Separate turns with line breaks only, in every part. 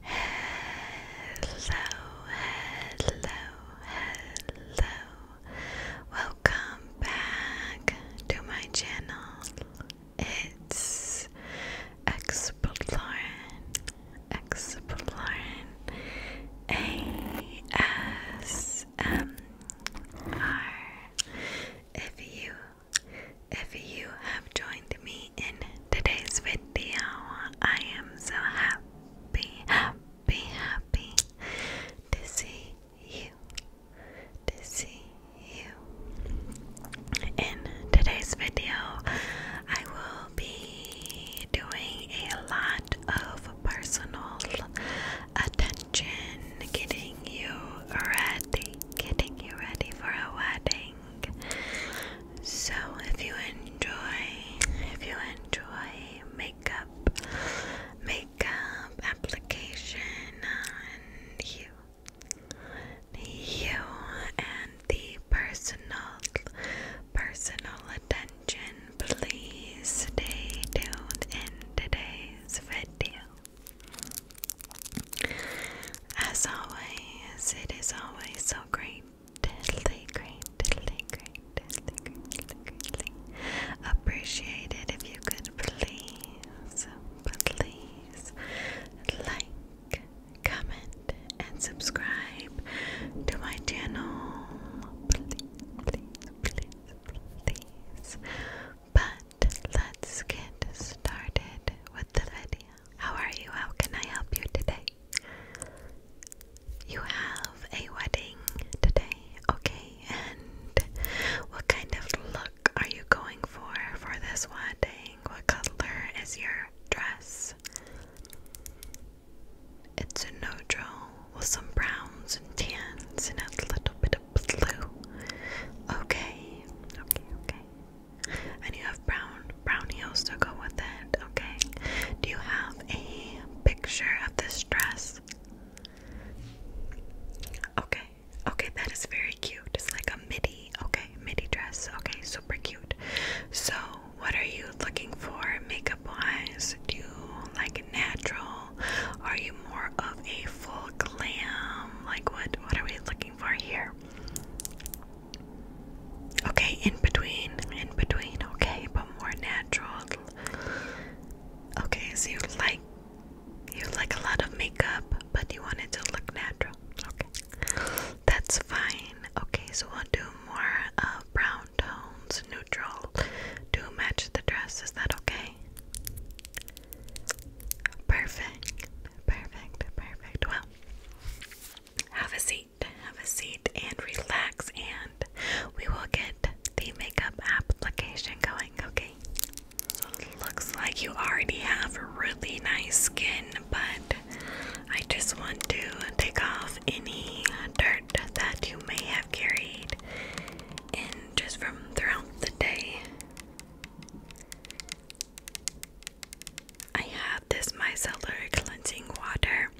Hello, hello, hello. Welcome back to my channel. It's Exploring, Exploring ASMR. If you if you have joined me in today's video. I am so happy, happy, happy to see you, to see you. In today's video, I will be doing a lot of personal attention, getting you ready, getting you ready for a wedding. So, if you enjoy, if you enjoy makeup, makeup application on you, you and the personal, personal attention, please stay tuned in today's video. As always, it is always so great, greatly, greatly, greatly, greatly, greatly appreciated if you could please, please like, comment, and subscribe to my channel. Please, please, please, please. But let's get started with the video. How are you? How can I help you today? You have a wedding today, okay? And what kind of look are you going for for this wedding? What color is your dress? It's a neutral with some browns and tans and a little bit of blue. Okay, okay, okay and you have brown brown heels to go with it. Okay. Do you have a picture of this dress? Okay. Okay, that is very cute. It's like a midi. Okay, midi dress. Okay, super cute. So, what are you looking for makeup wise? Do you like natural? Are you more of a full glam? Like what what are we looking for here? Okay, in between, in between, okay, but more natural. Okay, so you like you like a lot of makeup, but you want it to look natural. Okay. That's fine. Okay, so we'll do more uh, brown tones, neutral to match the dress. Is that okay? Perfect. Perfect. Perfect. Well, have a seat, have a seat, and relax, and we will get the makeup application going, okay? Looks like you already have really nice skin, but I just want to take off any dirt that you may have carried in just from throughout the day. I have this micellar cleansing water.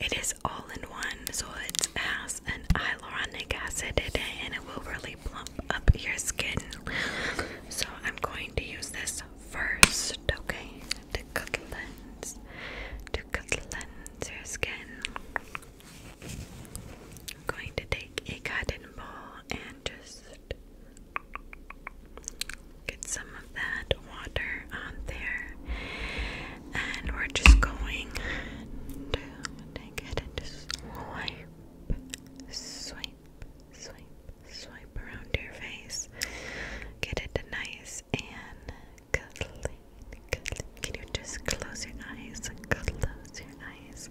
It is all in one, so it has an hyaluronic acid in it and it will really plump up your skin. So I'm going to use this first, okay? To cleanse, to cleanse your skin. I'm going to take a cotton ball and just Get some of that water on there. And we're just going to take it and swipe, swipe, swipe, swipe around your face. Get it nice and clean. Can you just close your eyes? Close your eyes.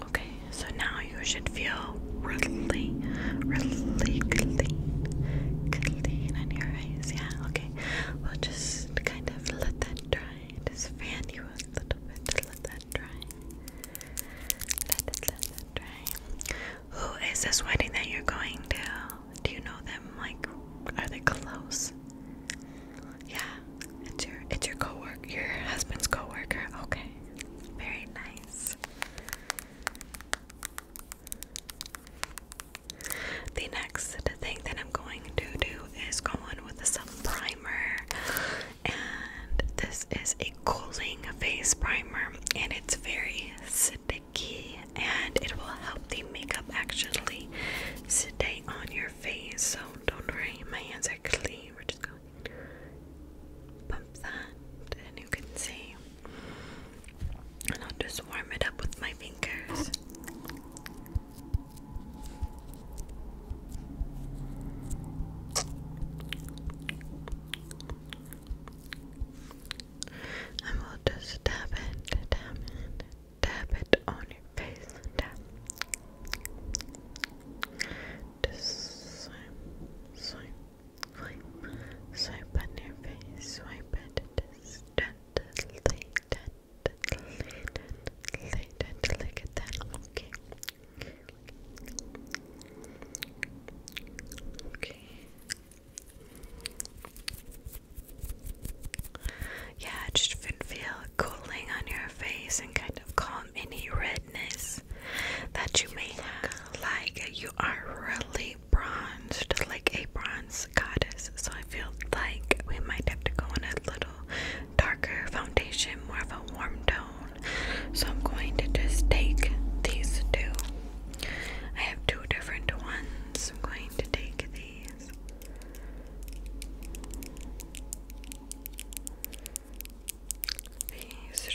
Okay, so now you should feel really, really clean, clean your eyes. Yeah, okay. We'll just kind of let that dry. Just fan you a little bit to let that dry. Who is this wedding that you're going to? Do you know them? Like, are they close? Yeah, it's your it's your coworker, your husband's coworker. Okay, very nice. The next thing that I'm going to do is go on with some primer. And this is a cooling face primer, and it's very sticky, and it will help the makeup actually stay on your face. So don't worry, my hands are clean. We're just going to pump that, and you can see. And I'll just warm it up with my fingers. And we'll just tap it, tap it, tap it on your face, tap. swipe, swipe, swipe, swipe on your face, swipe it, just gently, gently, gently, gently, look at that, okay. Okay. Yeah, it just feel cooling on your face and kind of calm any redness that you may have. Like you are really bronzed, like a bronze goddess. So I feel like we might have to go on a little darker foundation, more of a warm tone. So I'm going to just take these two. I have two different ones. I'm going to take these.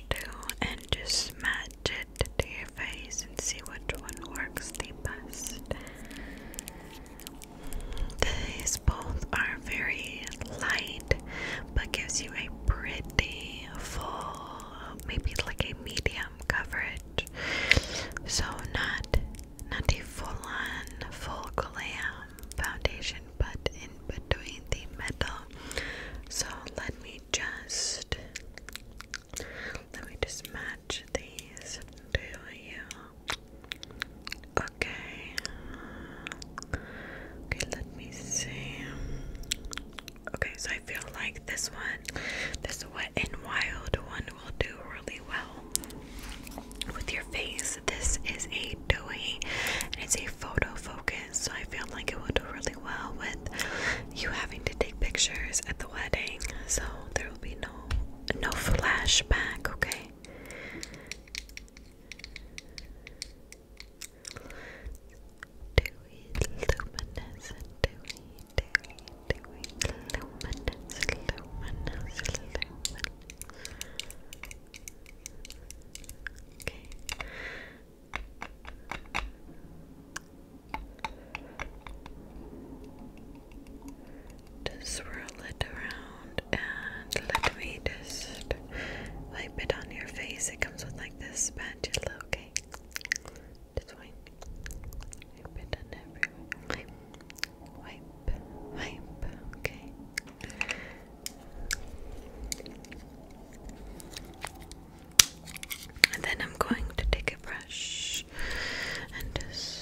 two and just match it to your face and see which one works the best. These both are very light but gives you a pretty full, maybe like a medium coverage. So not not a full-on, full glam foundation, but in between the metal. So let me just let me just match these to you. Okay. Okay, let me see. Okay, so I feel like this one, this wet and wild one, will do really well with your face. This is a dewy and it's a photo focus, so I feel like it will do really well with you having to take pictures at the wedding. So there will be no no flashback. Okay. Dewy, luminous, dewy, dewy, dewy, luminous, luminous, luminous. Okay. Just swirl it around and let me just wipe it on your face. It comes with like this spatula, okay? Just wipe, wipe it on everywhere. wipe, wipe, okay? And then I'm going to take a brush and just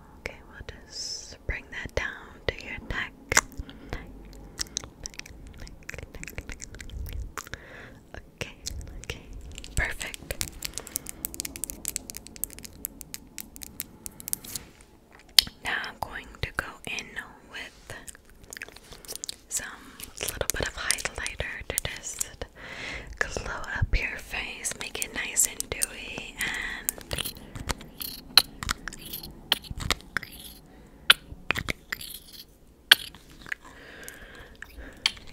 Okay, we'll just bring that down to your neck. Okay, okay, perfect. Now I'm going to go in with some little bit of highlighter to just glow up your face, make it nice and dewy, and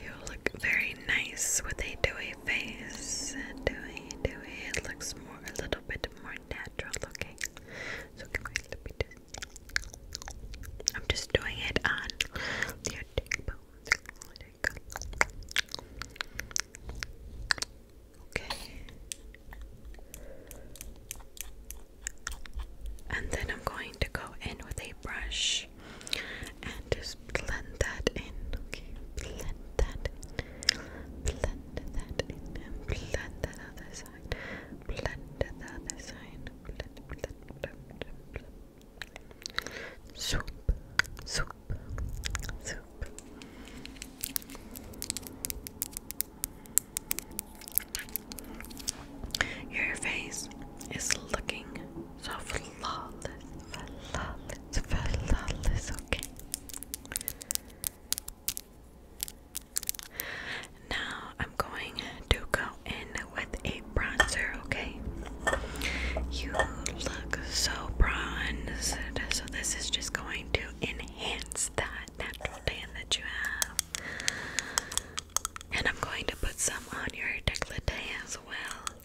you look very nice with a dewy face. Dewy, dewy. It looks more, a little bit more natural looking. So can we let me I'm just doing it on your cheekbones. Okay. And then I'm going to go in with a brush and just blend that in. Okay, blend that Blend that in. And blend that other side. Blend the other side. blend, blend, blend, blend. Swoop, swoop, your face is looking so flawless, flawless, flawless, okay? Now I'm going to go in with a bronzer, okay? You look so bronzed, so this is just going to enhance that natural tan that you have. And I'm going to put some on your décolleté as well.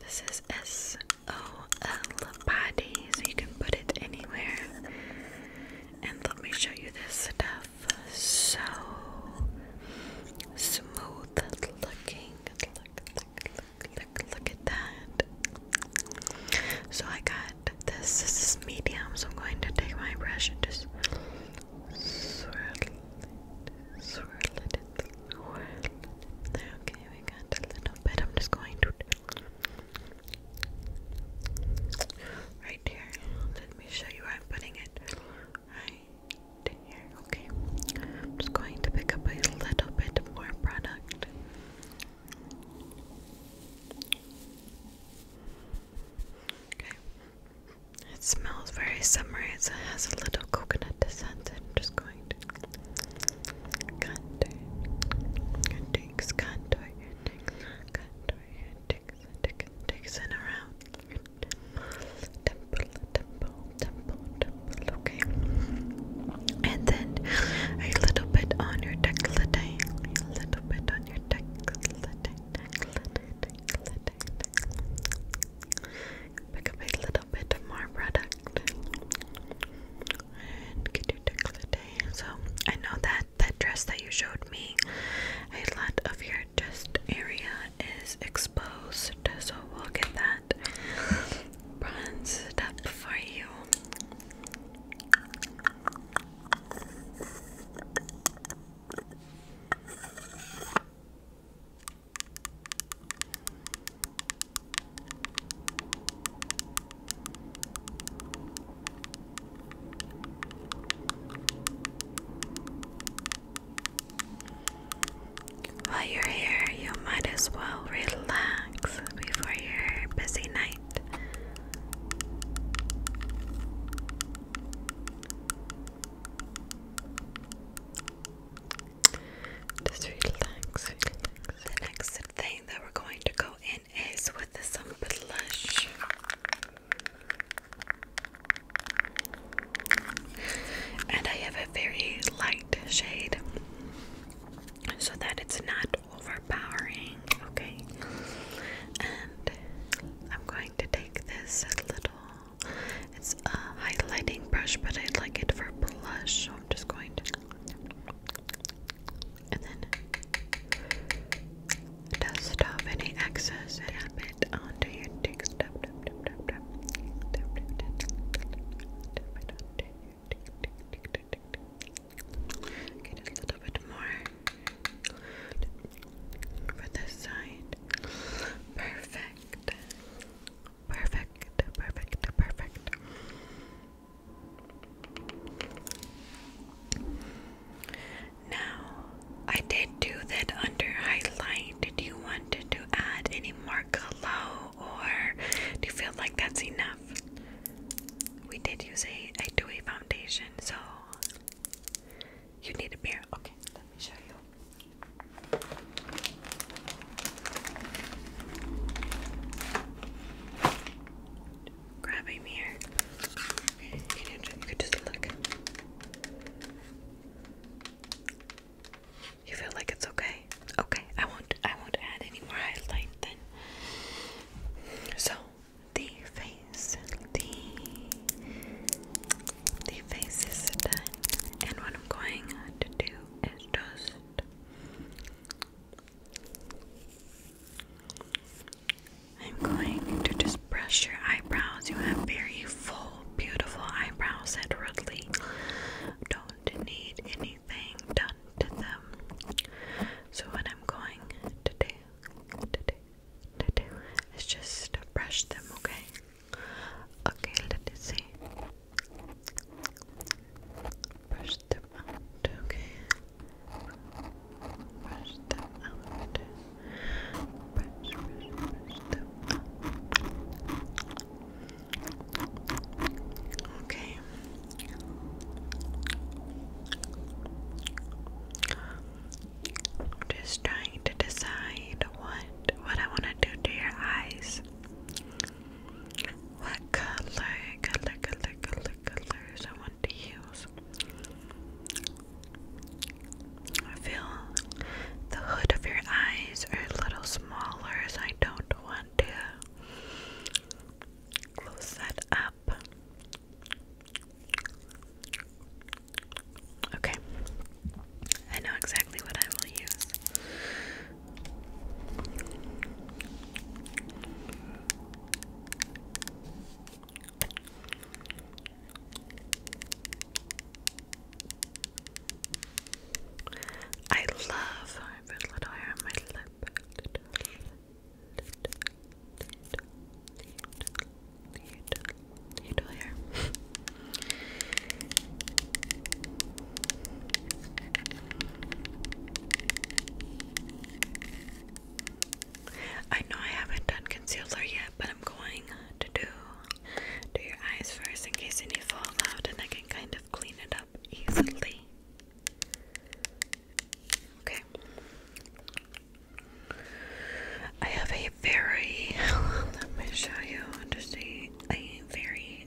This is S O L so you can put it anywhere. And let me show you this stuff. So smooth looking. Look, at that. So I got this. medium, so I'm going to take my brush and just swirl it, swirl it. Okay, we got a little bit. I'm just going to Right here. Let me show you where I'm putting it. Right here. Okay. I'm just going to pick up a little bit more product. Okay. It smells very summery. It has a little coconut scent. I'm just going to contour. Contour. Contour. Dixon around temple, temple, temple, temple, okay. And then a little bit on your decollete, a little bit on your decollete, decollete, decollete. Pick up a little bit more product and get your decollete so I know that that dress that you showed me, a lot of your chest area is exposed, so we'll get that bronzed up for you. While you're here, you might as well relax before your busy night. Just relax, The next thing that we're going to go mine is with some blush. And I have a very light shade so that it's not overpowering, okay? And I'm going to take this little, it's a highlighting brush, but I like it for blush, so I'm just going to and then dust off any excess and add it onto your cheeks. Tap, it a little bit more for this side. Perfect. Perfect, perfect, perfect. Now, I did do that under highlight. Did you want to add any more glow or do you feel like that's enough? We did use a, a dewy foundation, so you need a mirror. Okay, let me show you. Grab a mirror. You feel like it's okay? Okay, I won't I won't add any more highlight then. So the face, the the face is done, and what I'm going to do is just I'm going to just brush your eyebrows. You have very full, beautiful eyebrows, said Rudley. Don't need anything done to them. So, what I'm going to do, to do, do is just brush them, okay? Okay, let's see. Brush them out, okay? Brush them out. Brush, them out. Okay. just trying to decide what what I want to do to your eyes. What color, color, color, colors I want to use? I feel the hood of your eyes are a little smaller, so I don't want to close that up. Okay, I know exactly what I will use. I love I little hair on my lip. Little hair. I know I haven't done concealer yet, but I'm going to do do your eyes first in case any fall out and I can kind of clean it up easily. Okay. I have a very let me show you to a very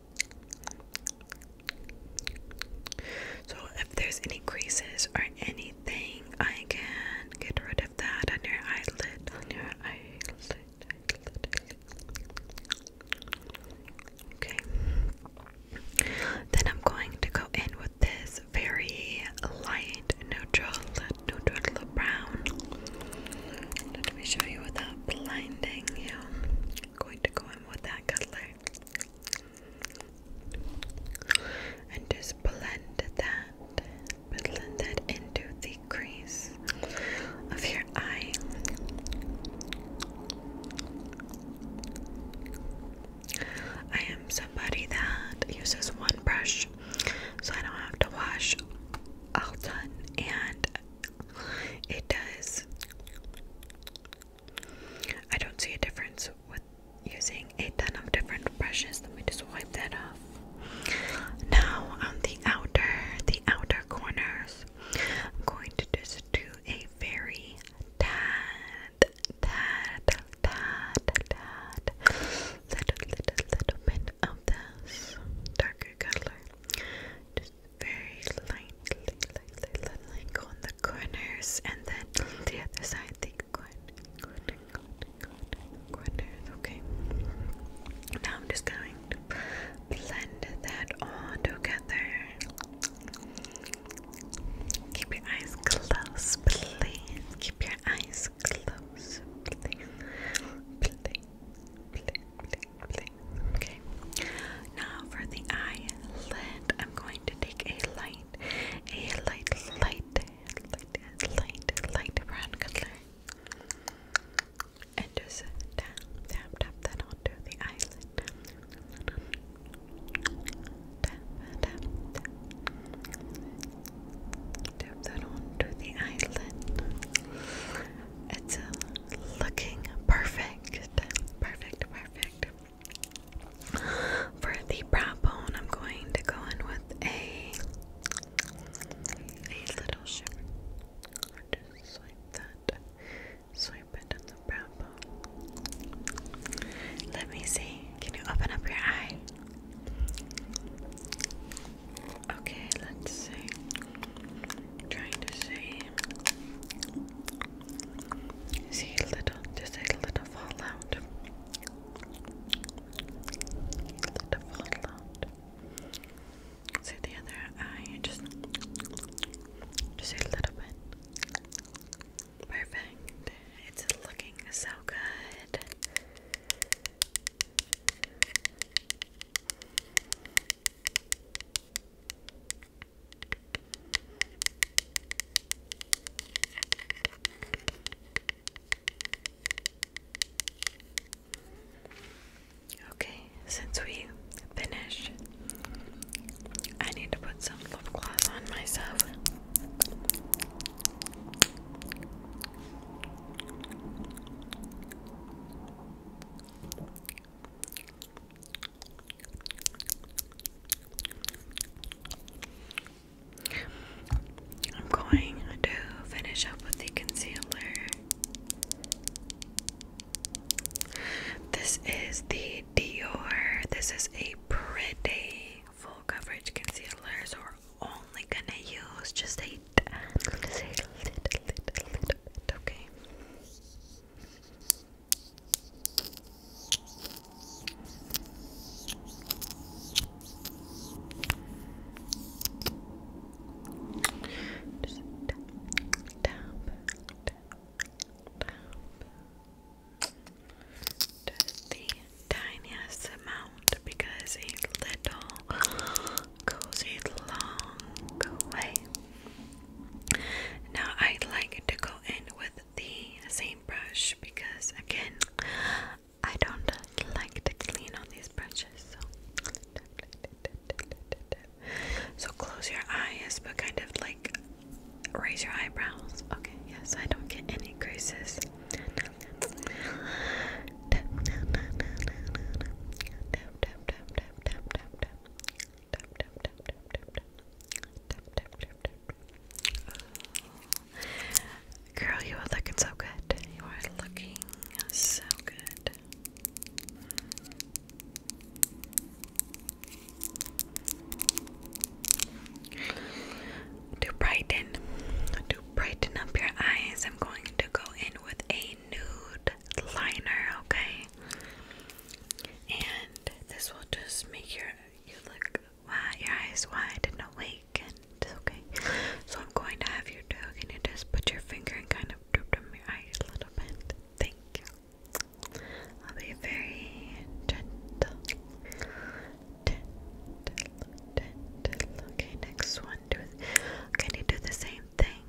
so if there's any creases or anything, I can get rid of that on your eyelid, on your eyelid, Okay. Then I'm going to go in with this very light neutral, neutral brown. Let me show you without blinding you. I'm going to go in with that color and just blend that, blend that into the crease of your eye. I am somebody that uses one brush so I don't have to wash all done and it does I don't see a difference with using eight different brushes. Let me just wipe that off. Now, on the outer, the outer corners, I'm going to just do a very tad, tad, tad, tad, little, little, little bit of this darker color. Just very lightly, lightly, lightly on the corners and then the other side, the corners, okay. Now I'm just going to blend that all together. Keep your eyes closed, please. Keep your eyes closed, please, blink, blink. Okay. Now for the eyelid, I'm going to take a light, a light, light, light, light, light brown color, and just tap, tap, tap that onto the eyelid. Tap, tap, tap. Tap that onto the eyelid. It's uh, looking perfect. Perfect. Perfect, perfect. For the brow bone, I'm going to go in with a a little shimmer. Just swipe that. Swipe it on the brow bone. Let me see. Can you open up your eye? Okay, let's see trying to see see a little just a little fallout little fallout so the other eye just just a little bit perfect it's looking so good Okay, since we finished, I need to put some lip gloss on myself. I'm going to finish up with the concealer. This is the Dior. This is a pretty full coverage concealer, so we're only gonna use just a, just tap, tap, tap, tap. the tiniest amount because a little goes a long way. Now I'd like to go in with the same brush because again I don't like to clean on these brushes. so close your eyes but kind of like raise your eyebrows. Okay, yes, I don't get any creases. Girl, you are looking so good. You are looking so good. To brighten, to brighten up your eyes, I'm going to go in with a nude liner, okay? And this will just make your you look wide, your eyes wide and awake, and okay. So I'm going to have you do. Can you just put your finger and kind of droop them your eyes a little bit? Thank you. I'll be very gentle, gentle. Okay, next one. Do. Can you do the same thing?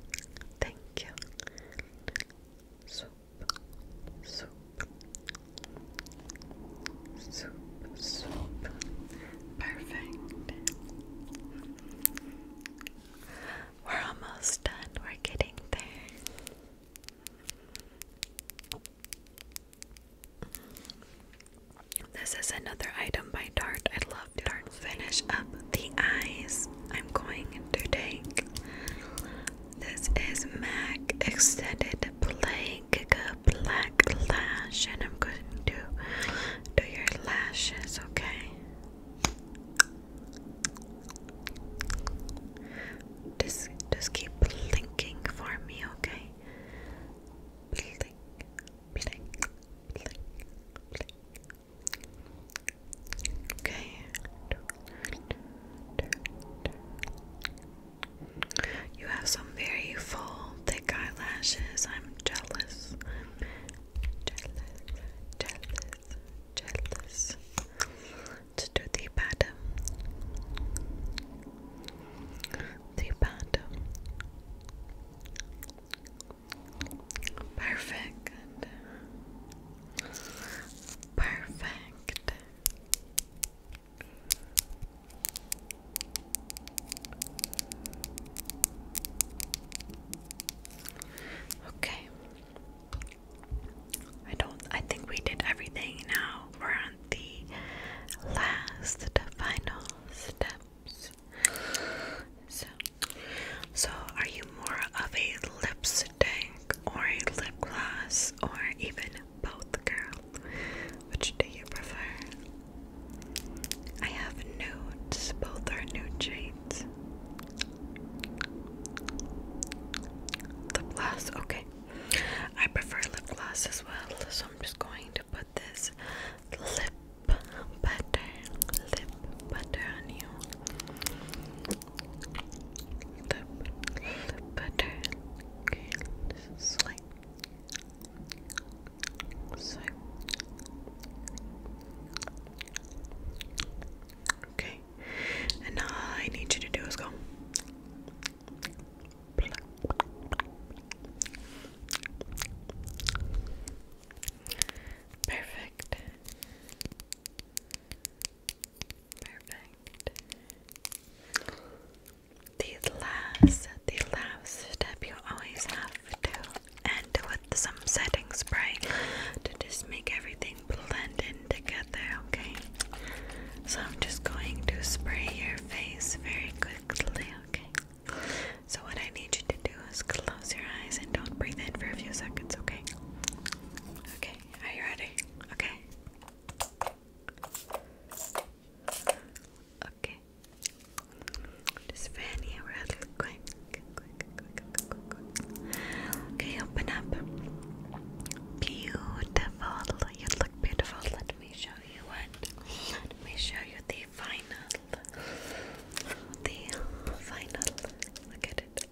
Perfect. We're almost done. We're getting there. This is another item by Dart. I love soft finish up the eyes, I'm going to take this is MAC Extended Plague Black Lash, and I'm going to do your lashes, okay? Just, just keep blinking for me, okay? Blink, blink, blink, blink, Okay. You have some very full, thick eyelashes. I'm jealous. jealous, jealous, jealous. let do the bottom. The bottom. Perfect. Perfect. Okay. I don't I think we did everything now. We're on the last final steps. So so, are you more of a lipstick or a lip gloss or even both, girl? Which do you prefer? I have nudes, both are nude shades. Lip gloss, okay. I prefer lip gloss as well, so I'm just going to put this lip butter, lip butter on you. Lip, butter. swipe. Swipe. Okay, and I need you to do is go. Perfect. Perfect. The last, the last step you always have to end with some setting spray to just make everything blend in together, okay? So I'm just going to spray your face very quickly, okay? So, what I need you to do is close your eyes and don't breathe in for a few seconds, okay? Okay, are you ready? Okay. Okay. Just fan you quick. Quick, quick, quick, quick, quick. Okay, open up. Beautiful. You look beautiful. Let me show you what. Let me show you the final the final. Look at it.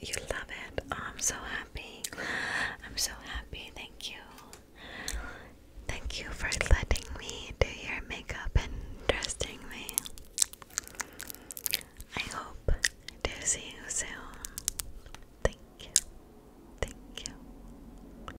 You love it. Oh, I'm so happy. I'm so happy. Thank you. Thank you for letting me do your makeup and dressing me. I hope to see you soon. Thank you. Thank you.